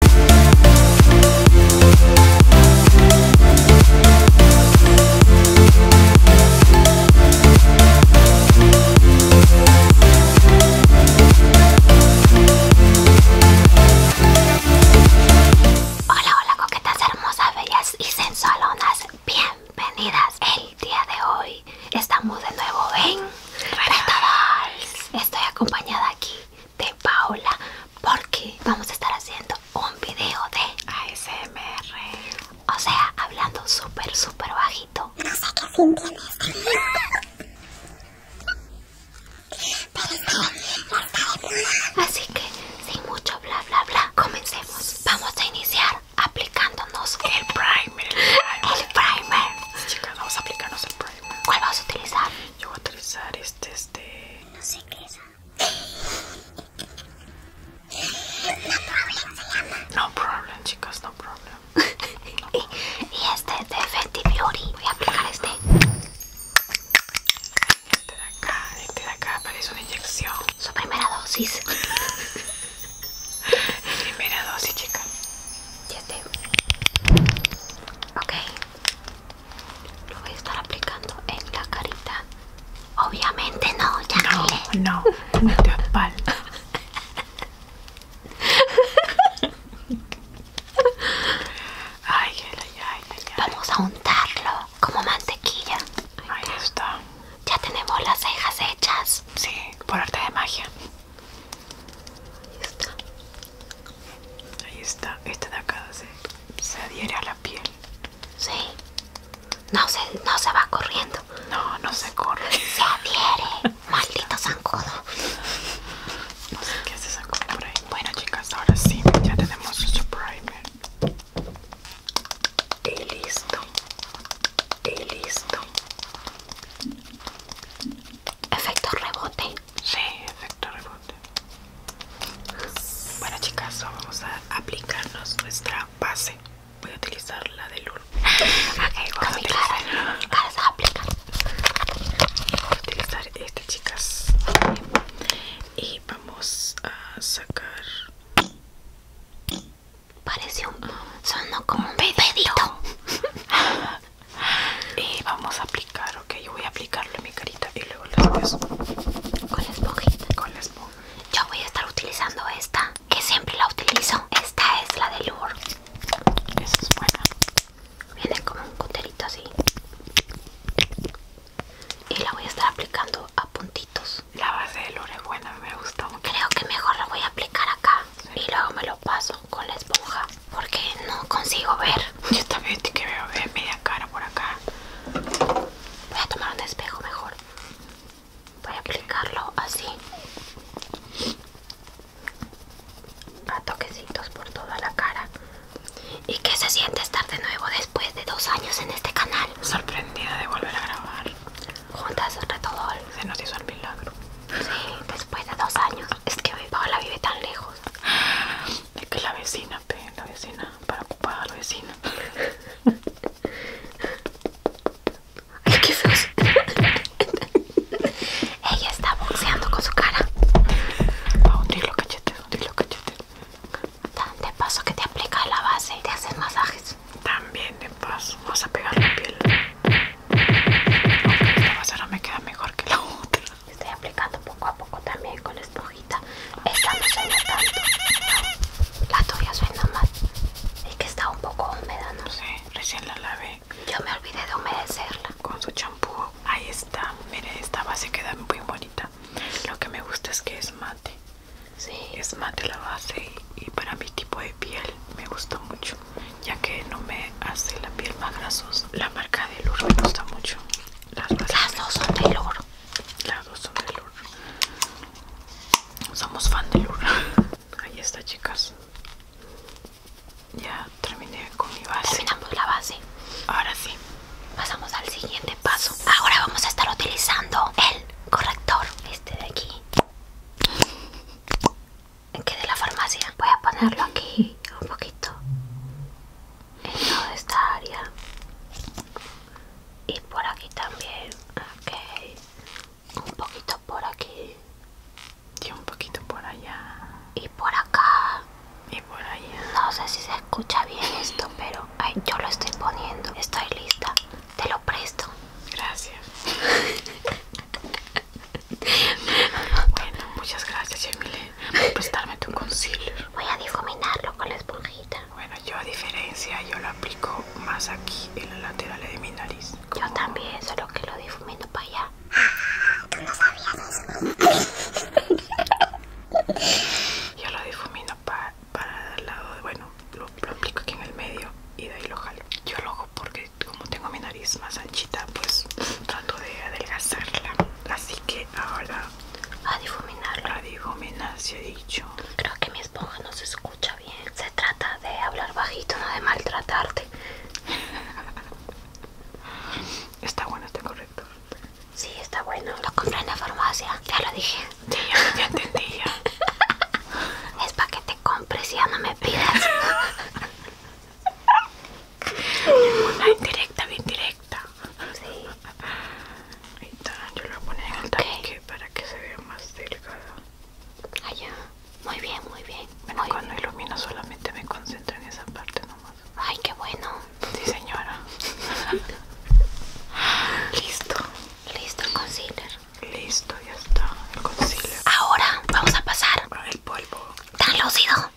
Hola, hola, coquetas hermosas, bellas y sensualonas. Bienvenidas. El día de hoy estamos de nuevo en Estoy acompañada aquí de paola porque vamos a estar haciendo un video de ASMR. O sea, hablando súper, súper bajito. Así que, sin mucho bla, bla, bla, comencemos. Vamos a iniciar aplicándonos el primer. El primer. Chicas, vamos a aplicarnos el primer. ¿Cuál vamos a utilizar? Yo voy a utilizar este, este. No sé qué es. No problem, chicas, no problem. y, este de Fenty Beauty. Voy a aplicar este. Este de acá, este de acá parece una inyección. Su primera dosis. primera dosis, chicas. Y este. Ok. Lo voy a estar aplicando en la carita. Obviamente no, ya No, no, no, te espalda. Ay, Vamos a untarlo como mantequilla. está. Ahí está. Ya tenemos las cejas hechas. Sí, por arte de magia. Ahí está. Ahí está, este de acá se, adhiere a la piel. Sí. No se, no se va corriendo. No, no se corre. Se adhiere. Maldito zancudo. No sé qué se sacó por ahí. Bueno chicas, ahora sí, ya tenemos nuestro primer. Y listo. Y listo. Efecto rebote. Sí, efecto rebote. Bueno chicas, vamos a aplicarnos nuestra base. Voy a utilizar la de Lul. Okay, vamos a aplicar Vamos a utilizar este chicas. Y vamos a sacar. Parece un. Ah. Sonó como un bebé y vamos a aplicar, ok, yo voy a aplicarlo en mi carita y luego lo haces con la esponjita. Con la esponja. Yo voy a estar utilizando esta, que siempre la utilizo. Esta es la de Lure. Esa es buena. Viene como un coterito así. Y la voy a estar aplicando a puntitos. La base de Lure es buena, me gusta Creo que mejor la voy a aplicar y luego me lo paso con la esponja porque no consigo ver. Yo también te quiero ver media cara por acá. Voy a tomar un espejo mejor. Voy a aplicarlo así. A toquecitos por toda la cara. ¿Y qué se siente estar de nuevo después de dos años en este canal? Sorprendida de volver a grabar. Juntas, Retodol. Se nos hizo el milagro. Sí, después de dos años. Es que hoy la vive tan lejos. Es que la vecina, pe, la vecina, para ocupar a la vecina. Ay, ¿qué es Ella está boxeando con su cara. Pa, hundir cachete cachetes, hundir los De paso que te aplicas la base y te haces masajes. También de paso, vas a pegar la piel. Esta ahora me queda mejor que la otra. Estoy aplicando poco a poco también con la esponjita. Esta no La tuya suena más. Es que está un poco húmeda, ¿no? Sí, recién la lavé. Yo me olvidé de humedecerla. Con su champú. Ahí está. Mire, esta base queda muy bonita. Lo que me gusta es que es mate. Sí. Es mate la base y, y para mi tipo de piel me gustó mucho ya que no me hace la piel más grasosa la marca de Lourdes me gusta mucho las, dos son de Lourdes. las dos son de Lourdes. somos fan de Lourdes. ahí está chicas ya terminé con mi base terminamos la base ahora sí pasamos al siguiente paso ahora vamos a estar utilizando el corrector este de aquí que de la farmacia. Voy a ponerlo aquí un poquito en toda esta área y por aquí también. Ok, un poquito por aquí y un poquito por allá y por acá y por allá. No sé si se escucha bien esto, pero ay, yo lo estoy poniendo. Estoy lista, te lo presto. Gracias. Bueno, muchas gracias, Emily, por prestarme tu concealer. Voy a difuminarlo con la esponjita. Bueno, yo a diferencia, yo lo aplico más aquí, en los lateral de mi nariz. Yo también, solo que lo difumino para allá. no yo lo difumino para para el lado, de, bueno, lo, aplico aquí en el medio y de ahí lo jalo. Yo lo hago porque como tengo mi nariz más anchita pues trato de adelgazarla así que ahora a difuminarla a difuminar se ha dicho creo que mi esponja no se escucha bien se trata de hablar bajito no de maltratarte está bueno está correcto Sí, está bueno. Lo compré en la farmacia. Ya lo dije. Sí, ya, entendí es para que te no me pidas. indirecta, bien directa. Sí. Ahí está, yo lo voy a poner en el para que se vea más delgada. Allá. Ah, muy bien, muy bien. Bueno, cuando ilumina solamente me concentro en esa parte nomás. Ay, qué bueno. Sí, señora. Listo. Listo, concealer. Listo, ya está el concealer. Ahora vamos a pasar el polvo. Tan lúcido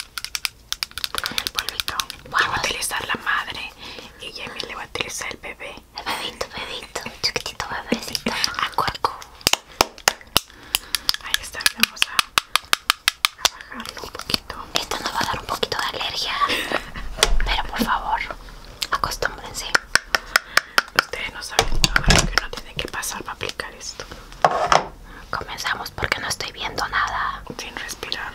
el polvito. Vamos. a utilizar la madre y Jamie le va a utilizar el bebé. El bebito, bebito, chiquitito bebecito. A cuerpo Ahí está, vamos a, a bajarlo un poquito. Esto nos va a dar un poquito de alergia. Pero por favor, acostúmbrense. Ustedes no saben lo que no tiene que pasar para aplicar esto. Comenzamos porque no estoy viendo nada. Sin respirar.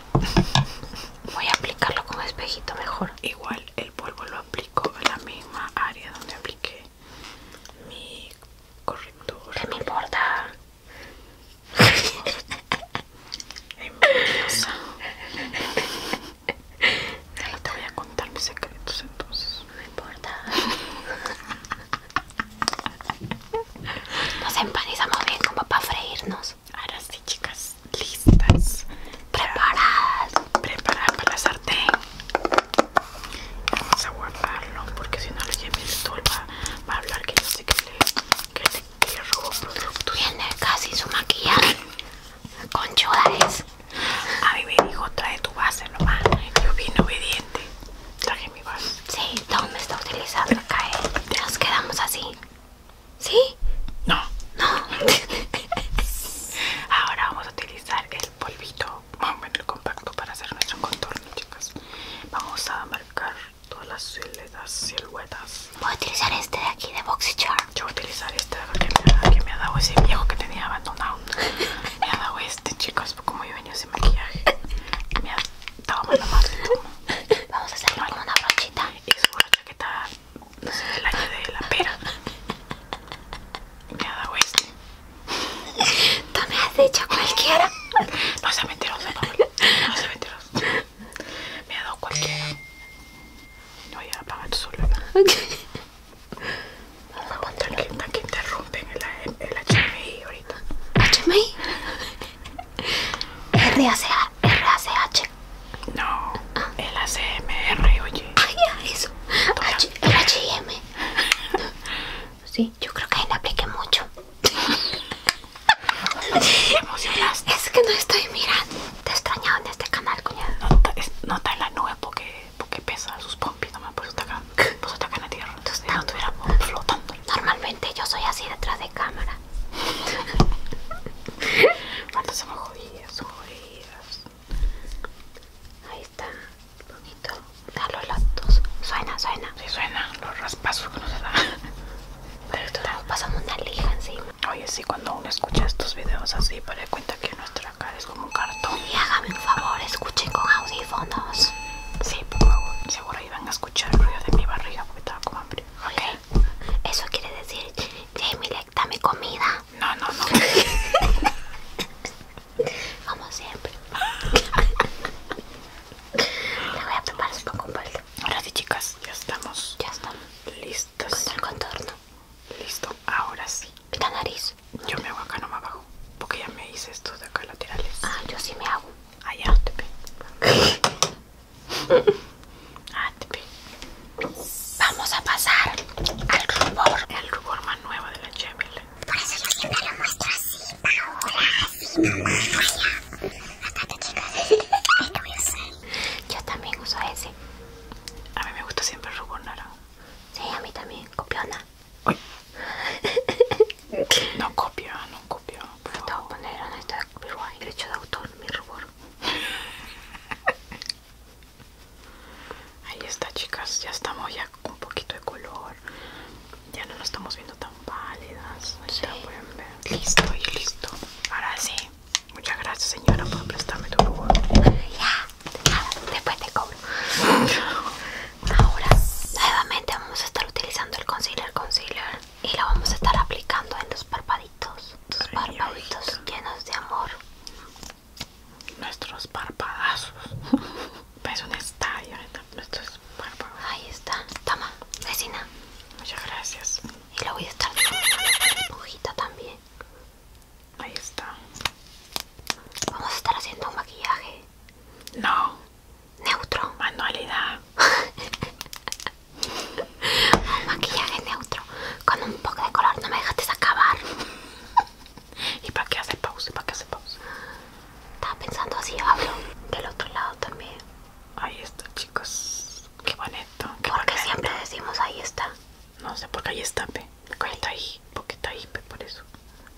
Voy a aplicarlo con espejito mejor. Igual el polvo lo aplico en la misma área donde apliqué mi corrector. ¿Qué me importa? No te voy a contar mis secretos entonces. No importa. Nos empanizamos bien como para freírnos. Ahora sí, chicas, listas. Preparadas. Preparadas para la sartén. Vamos a guardarlo porque si no le lleve el sol va, a hablar que yo sé que le, que le, que robo productos. Tiene casi su maquillaje. Con es. A mi me dijo, trae tu base nomás. Yo bien obediente. Traje mi base. Sí, me está utilizando acá? ¿eh? Nos quedamos así. ¿Sí? No. No. Ahora vamos a utilizar el polvito. Vamos el compacto para hacer nuestro contorno, chicas. Vamos a marcar todas las siluetas. Voy a utilizar este de aquí de Boxy yo voy a utilizar esta que me, ha, que me ha dado ese viejo que tenía abandonado me ha dado este chicos como yo venía sin maquillaje me ha dado más madre vamos a hacerlo con una brochita es una está no sé, del año de la pera me ha dado este tú me has hecho cualquiera no seas mentirosa vamos no seas mentirosa me ha dado cualquiera no ya apaga tu celular Tranquila, que interrumpen el, el HMI ahorita. ¿HMI? RACH. No, ah. el ACMR, oye. ya, eso. H, el HM. Sí, yo creo que ahí le apliqué mucho. Te emocionaste. Es que no estoy mirando. Te he extrañado en este canal, cuñado. Nota no está en la nube porque porque pesa sus pompis, nomás por eso atacan, por eso atacan la tierra. Entonces ya no flotando. Normalmente yo soy así detrás de cámara. Falta somos jodidas, somos Ahí está, bonito. Da los latos. Suena, suena. si suena, los raspazos que nos da. Pero esto nos pasamos una lija encima. Oye, sí, cuando uno escucha estos videos así, para cuento que nuestra cara es como un cartón. Y hágame un favor, escuchen con audífonos. Sí, por favor. Seguro van a escuchar el ruido de mi barriga porque estaba con hambre. Ok. Eso quiere decir, Jamie, dame comida. No, no, no. Como siempre. Le voy a preparar un poco Ahora sí, chicas, ya estamos. Ya estamos. Listos. Con contorno. Listo, ahora sí. Pita nariz. Yo me hago acá no más abajo. Porque ya me hice estos de acá laterales. Ah, yo sí me hago. Allá, ah, ah, te Ah, te Vamos a pasar al rubor. El rubor más nuevo de la Chevrolet. Por eso yo siempre lo muestro así, Paola. me mamá. Allá. Acá te chicas. Yo también uso ese. A mí me gusta siempre el rubor naranja. Sí, a mí también. Copiona. no copio, no copio. de autor mi rubor. Ahí está, chicas. Ya estamos ya con un poquito de color. Ya no nos estamos viendo tan pálidas. pueden ver. Listo y listo. Ahora sí muchas gracias señora por prestarme tu favor. Ya, después te cobro. Ahora, nuevamente vamos a estar utilizando el concealer concealer y lo vamos a estar aplicando en los parpaditos. Tus parpaditos llenos de amor. Nuestros parpadazos. Es un estadio, Ahí está. Toma, vecina. Muchas gracias. Y lo voy a estar dejando con la también. Ahí está. Vamos a estar haciendo un maquillaje. No. Neutro. Manualidad. un maquillaje neutro. Con un poco de color. No me dejaste acabar. ¿Y para qué hace pausa? ¿Para qué hace pausa? Estaba pensando así, hablo. Del otro lado también. Ahí está, chicos. Qué bonito. Porque siempre decimos ahí está. No sé, porque ahí está, pe. Porque está ahí, porque está ahí, por eso.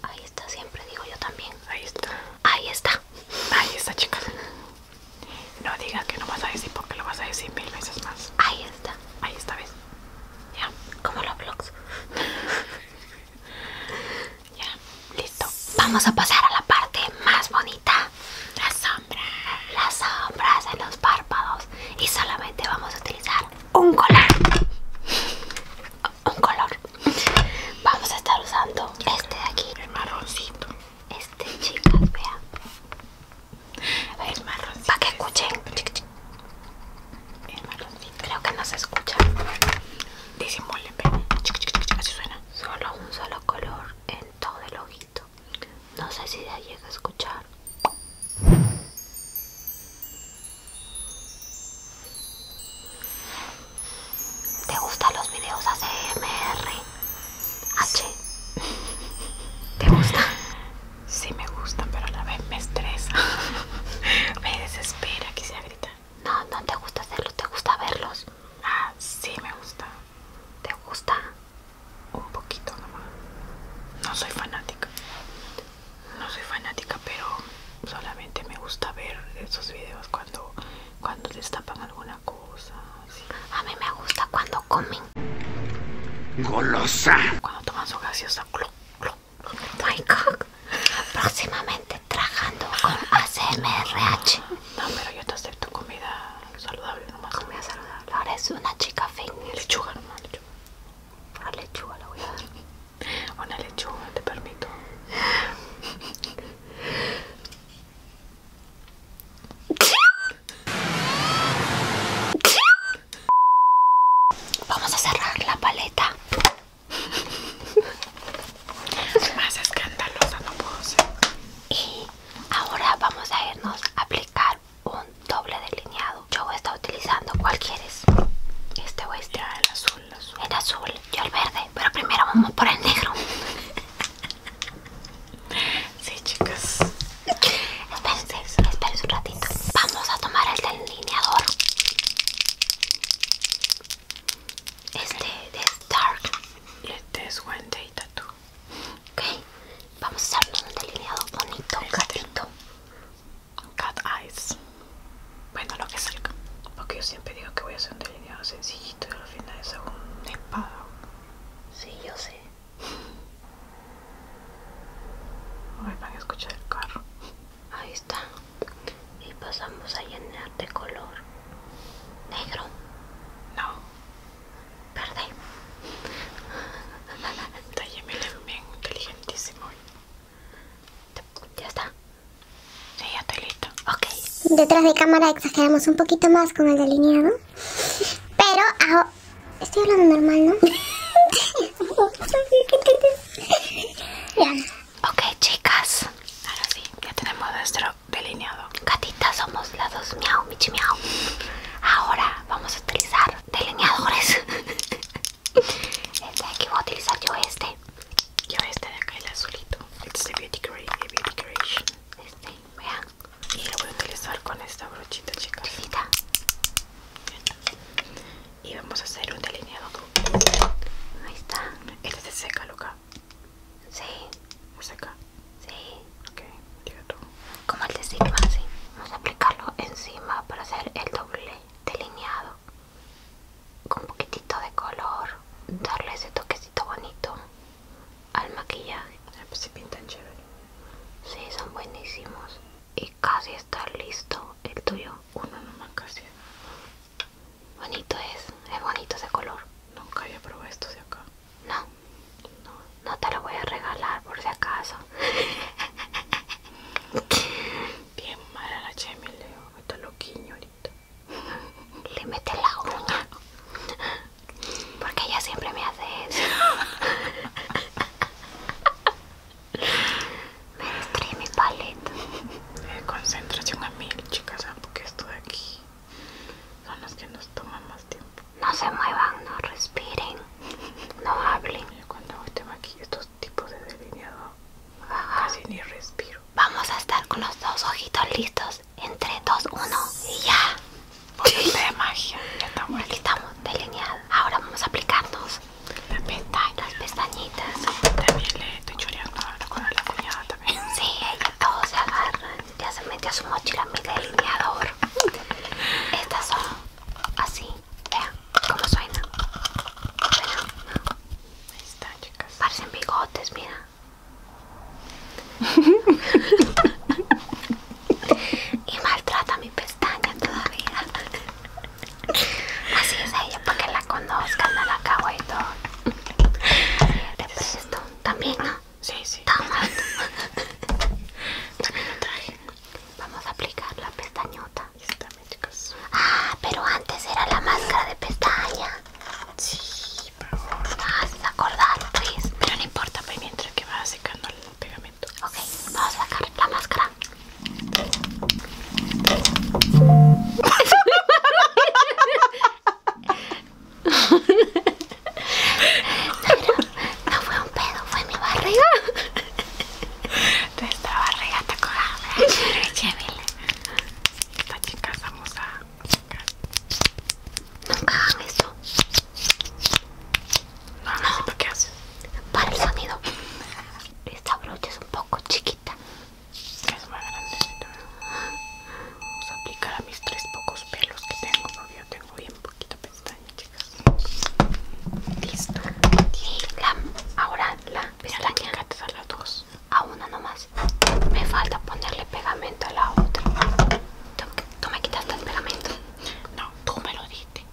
Ahí está siempre, digo yo también. Ahí está. Ahí está. Ahí está, chicas. No digas que no vas a decir porque lo vas a decir mil veces más. Ahí está. Ahí está, ¿ves? Ya, como los vlogs. ya, listo. Vamos a pasar a la parte más bonita. Las sombras. Las sombras en los párpados y solamente vamos a utilizar un color un color vamos a estar usando este de aquí el marroncito este chicas vean el marroncito para que escuchen el marroncito creo que no se escucha chica así suena solo un solo color en todo el ojo no sé si ya llega a escuchar. ¿Te gustan los videos ACMR? H. ¿Te gustan? Sí me gustan, pero a la vez me estresa. me desespera, se gritar. No, no te gusta hacerlos, te gusta verlos. Ah, sí me gusta. ¿Te gusta? un poquito nomás. No soy fanática. No soy fanática, pero solamente me gusta ver esos videos cuando cuando destapan alguna cosa. A mí me gusta cuando comen. Golosa. Cuando toman su gaseosa. My God. trabajando con ACMRH. No, pero yo te acepto comida saludable nomás. a saludable. Ahora es una chica fea. Lechuga, nomás. lechuga. Una lechuga la voy a dar. Una lechuga, te permito. Vamos a cerrar la paleta. Más escandalosa no puedo ser. Y ahora vamos a irnos a aplicar un doble delineado. Yo voy a estar utilizando cualquiera Este voy a estar el azul, el azul. yo el verde, pero primero vamos por el negro. sí, chicas. Espérense, espérense un ratito. Vamos a tomar el delineador. Este de Dark. Este es one day tattoo. Ok, vamos a hacer un delineado bonito, este. gatito. Cat eyes. Bueno, lo que salga. Porque yo siempre digo que voy a hacer un delineado sencillito y al final es un espada. Sí, yo sé. van a escuchar el carro. Ahí está. Y pasamos a llenar de color negro. No me Talle bien inteligentísimo. ¿Ya está? Sí, ya estoy listo. Ok. Detrás de cámara exageramos un poquito más con el delineado. Pero Estoy hablando normal, ¿no? ya. Ok, chicas. Ahora sí, ya tenemos nuestro delineado delineador. Gatitas, somos las dos miau, michi miau. Ahora vamos a utilizar delineadores. Este de aquí voy a utilizar yo este. Yo este de acá, el azulito. It's este the beauty, the creation. Este, vean. Y lo voy a utilizar con esta brochita, chicas. Y vamos a hacer un delineado Ahí está. Este se seca, loca. Sí. seca. Sí. Como el de Sigma, sí. Vamos a aplicarlo encima para hacer el doble delineado. Con un poquitito de color. Darle ese toquecito bonito al maquillaje. se pues pintan chévere. Sí, son buenísimos. Y casi está listo el tuyo. Uno nomás casi. Bonito es, es bonito ese color. Nunca había probado esto de acá. No, no, no te lo voy a regalar por si acaso. Bien mala la Chemi, Leo, está ahorita. Le mete la uña. Porque ella siempre me hace eso. me destruye mi paleta. Eh, concentración a mil, chicas, porque esto de aquí son los que nos toman más tiempo. No se muevan, no respiren, no hablen. cuando hago este maquillaje, estos tipos de delineado, casi ni respiro. Vamos a estar con los dos ojitos listos, entre dos, uno y ya. Por de magia, ya estamos Aquí estamos, delineados. Ahora vamos a aplicarnos las pestañas. Las pestañitas. También le estoy chorreando ahora con la cuñada también. Sí, ella todo se agarra ya se metió su mochila mi delineador. Estas son así, vean cómo suena. Bueno, ahí chicas. Parecen bigotes, mira. y maltrata mi pestaña todavía. Así es ella, para que la conozcan a la cagua todo. también, ¿no? Sí, sí. También lo traje. Vamos a aplicar la pestañota. Está Ah, pero antes era la máscara de pestaña. Sí, pero ah, favor. Ah, se acordar, Pero no importa, pues, mientras que va secando el pegamento. Ok, vamos a sacar la máscara. no, fue un pedo, fue mi barriga. Nuestra barriga está cojada. Esta chica vamos a Nunca hagan eso. No, no, no. ¿para el sonido. Esta brocha es un poco chiquita. Es más grandecita. Vamos a aplicar a mis tres pocos pelos que tengo, porque yo tengo bien poquita pestaña, chicas. Listo. La, ahora la pestaña a las dos. A una nomás. Me falta ponerle pegamento a la otra. ¿Tú, me quitaste el pegamento? No, tú me lo diste.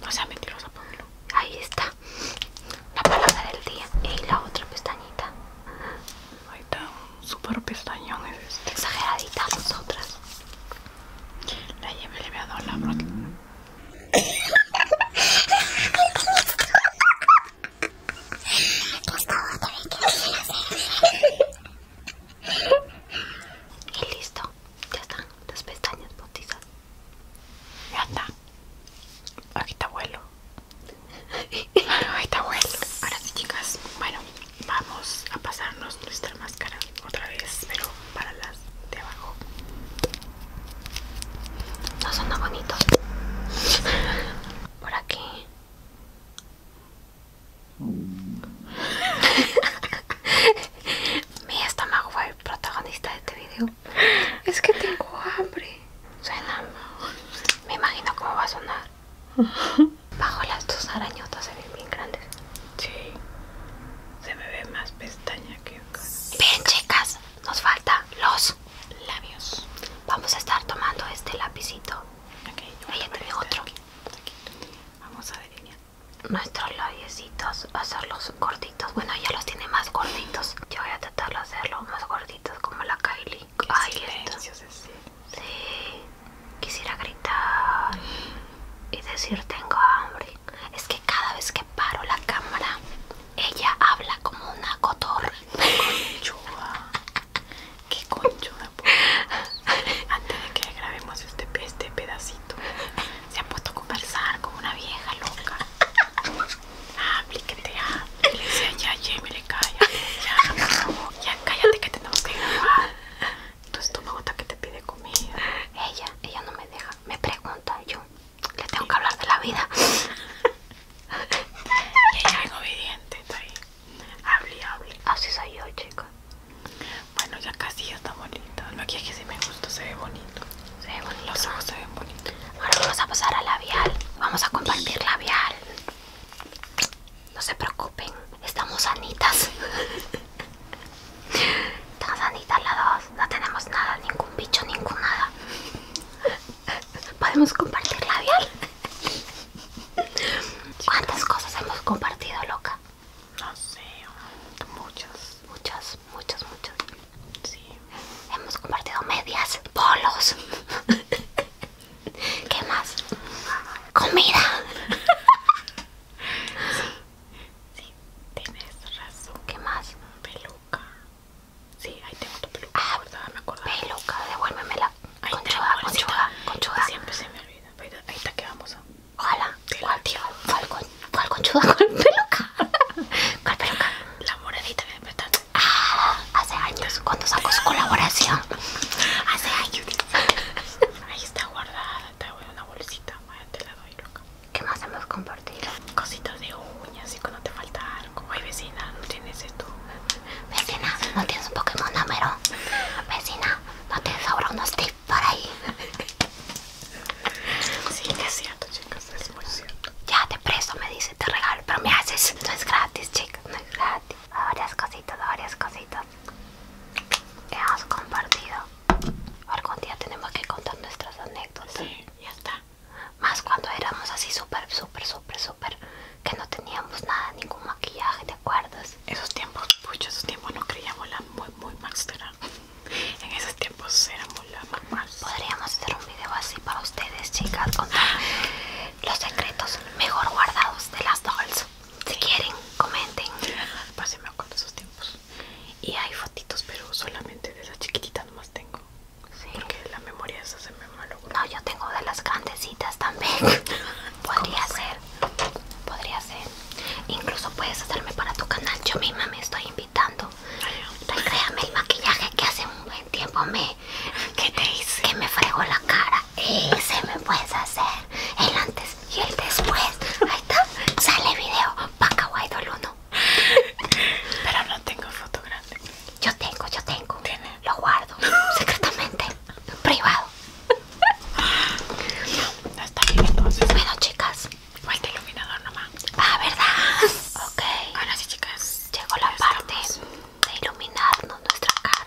No sea mentirosa, ponlo Ahí está. La palabra del día. Y la otra pestañita. Ahí está, un super pestañón este. Exageradita nosotras. La lleve le voy a dar la Y listo, ya están las pestañas bautizadas. Ya está. Aquí está vuelo. Ahí está bueno. Ahora sí, chicas. Bueno, vamos a pasarnos nuestra máscara otra vez, pero para las de abajo. No suena bonito. Por aquí. Mi estómago fue el protagonista de este video. Es que tengo hambre. Suena. Me imagino cómo va a sonar bajo las dos arañotas se ven bien grandes sí se me ve más pestaña que cara. bien chicas nos faltan los labios vamos a estar tomando este lapicito okay, yo ella este otro este vamos a delinear nuestros labiecitos hacerlos gorditos bueno ella los tiene más gorditos yo voy a tratar de hacerlos más gorditos como la Kylie Ay, Sí. sí, quisiera gritar y decir tengo hambre. Es que cada vez que paro la cámara, ella habla como una cotorra. Qué conchuda. Antes de que grabemos este, este pedacito, se ha puesto a conversar como una vieja loca. Ah, aplíquete ya. Ah, ya, Jamie, calla. Ya, Ya, cállate que tenemos que grabar. Tu me gusta que te pide comida. Ella, ella no me deja. Me pregunta, yo le tengo que hablar de la vida. y ella es obediente, está ahí. habla hable. Así soy yo, chica. Bueno, ya casi ya está bonita. es que sí me gusta, se ve bonito. Se ve bonito. Los ojos se ven bonitos. Ahora vamos a pasar a labial. Vamos a compartir labial. No se preocupen, estamos sanitas. Estamos sanitas las dos, no tenemos nada, ningún bicho, ningún nada. Podemos compartir labial. ¿Cuántas cosas hemos compartido, loca? No sé, muchas. Muchas, muchas, muchas. Sí. Hemos compartido medias, polos. ¿Qué más? Comida. Sí, tienes razón. ¿Qué más? Peluca. Sí, ahí tengo tu peluca. Ah, me acordaba. Peluca, devuélvemela. conchuda, conchuda, conchuda. Siempre se me olvida. ahí está que vamos. Ojalá. ¿Cuál, tío? ¿Cuál, con, conchuda? ¿Cuál peluca? ¿Cuál peluca? La moradita hace años, cuando sacó su colaboración. Hace años. Ahí está guardada, te voy dar una bolsita. Vaya, te la doy, loca. ¿Qué más hemos compartido? Cositas de uñas y cuando te falta algo. Ay, vecina, no tienes esto. Vecina, no tienes un Pokémon número. Vecina, no tienes ahora unos tips por ahí. Sí, es cierto, chicas. Ya te presto, me dice, te regalo, pero me haces. No es gratis, chica, no es gratis. Varias cositas, varias cositas. Hemos compartido. Algún día tenemos que contar nuestras anécdotas. Sí, ya está. Más cuando éramos así súper, súper, súper, súper. Que no teníamos nada, ningún maquillaje, ¿te acuerdas? Esos tiempos, pucho, esos tiempos no creíamos la muy, muy más grande. En esos tiempos éramos Hola mamá. Podríamos hacer un video así para ustedes, chicas, con los secretos mejor guardados de las dolls. Si quieren, comenten. Pase me esos tiempos. Y hay fotitos, pero solamente de las chiquitita nomás tengo. Sí. Porque la memoria esa se me malogró. No, yo tengo de las grandecitas también. podría ser. Podría ser. Incluso puedes hacerme para tu canal. Yo misma me estoy invitando créame el maquillaje que hace un buen tiempo me... ¿Qué te hice? Que me fregó la cara. Y se me puedes hacer. El antes y el después. Ahí está. Sale video. Paca Idol 1. Pero no tengo foto Yo tengo, yo tengo. Lo guardo. Secretamente. privado. está bien entonces. Bueno chicas. Falta iluminador nomás. Ah, ¿verdad? Ok. Bueno, sí, chicas. Llegó la parte de iluminarnos nuestra cara.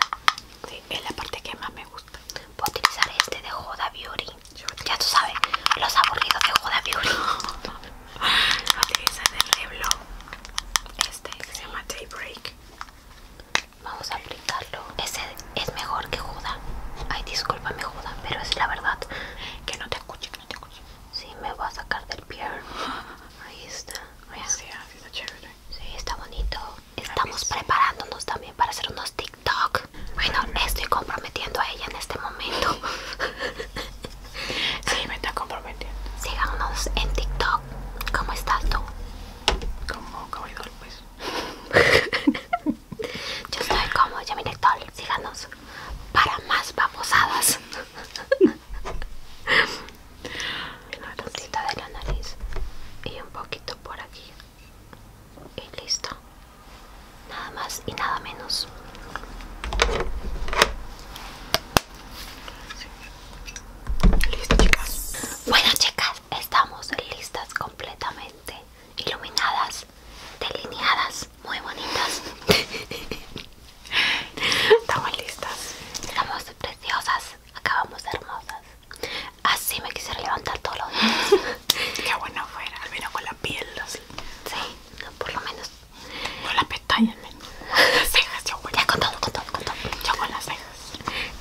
Sí, es la parte que más me gusta. Voy a utilizar este de Joda Beauty. Ya tú sabes, los aburridos de Huda Beauty. Voy a utilizar el Este se llama Daybreak. Vamos a aplicarlo. Ese es mejor que Huda Ay, discúlpame, Joda, pero es la verdad. Que no te escuche, que no te escuche. Sí, me voy a sacar del pier. Ahí está. Gracias Sí, está bonito. Estamos preparándonos también para hacer unos TikTok. Bueno, estoy comprometiendo a ella en este momento. Sí, me está comprometiendo. Síganos en TikTok. ¿Cómo estás tú? Como Yamiletol, pues. Yo estoy como Yamiletol. Síganos para más babosadas. Una puntita de la nariz y un poquito por aquí. Y listo. Nada más y nada menos. Listo, chicas. Bueno, chicas, estamos listas completamente. Iluminadas, delineadas muy bonitas. Estamos listas. Estamos preciosas, acabamos hermosas. Así me quisiera levantar todos los días. Qué bueno fuera, al menos con la piel. Así. Sí, por lo menos. Con las pestañas, cejas, yo Ya con todo, con todo, con todo. Yo con las cejas.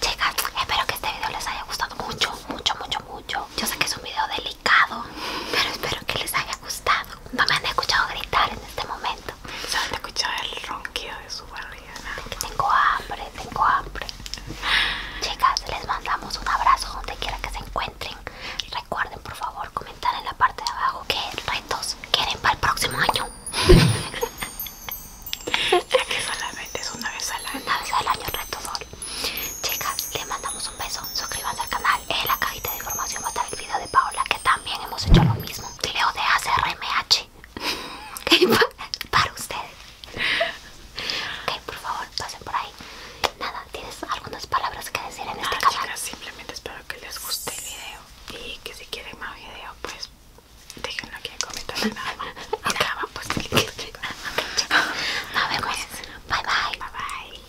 Chicas, espero que este video les haya gustado mucho, mucho, mucho, mucho. Yo sé que es un video delicado, pero espero que les haya gustado. No me han escuchado gritar en este momento. Solo han escuchado el ronquido de su barriga. tengo hambre, tengo hambre. Chicas, les mandamos un abrazo donde quiera que se encuentren. Recuerden, por favor, comentar en la parte de abajo qué retos quieren para el próximo año. ya que solamente es una vez al año. Una vez al año, reto sol. Chicas, les mandamos un beso. Suscríbanse al canal en la cajita de información va a estar el video de Paola que también hemos hecho lo mismo Leo de ACRMH para ustedes ok por favor pasen por ahí nada tienes algunas palabras que decir en este canal simplemente espero que les guste el video y que si quieren más videos pues déjenlo aquí en comentarios nada más pues chicos. nos vemos pues, bye bye bye bye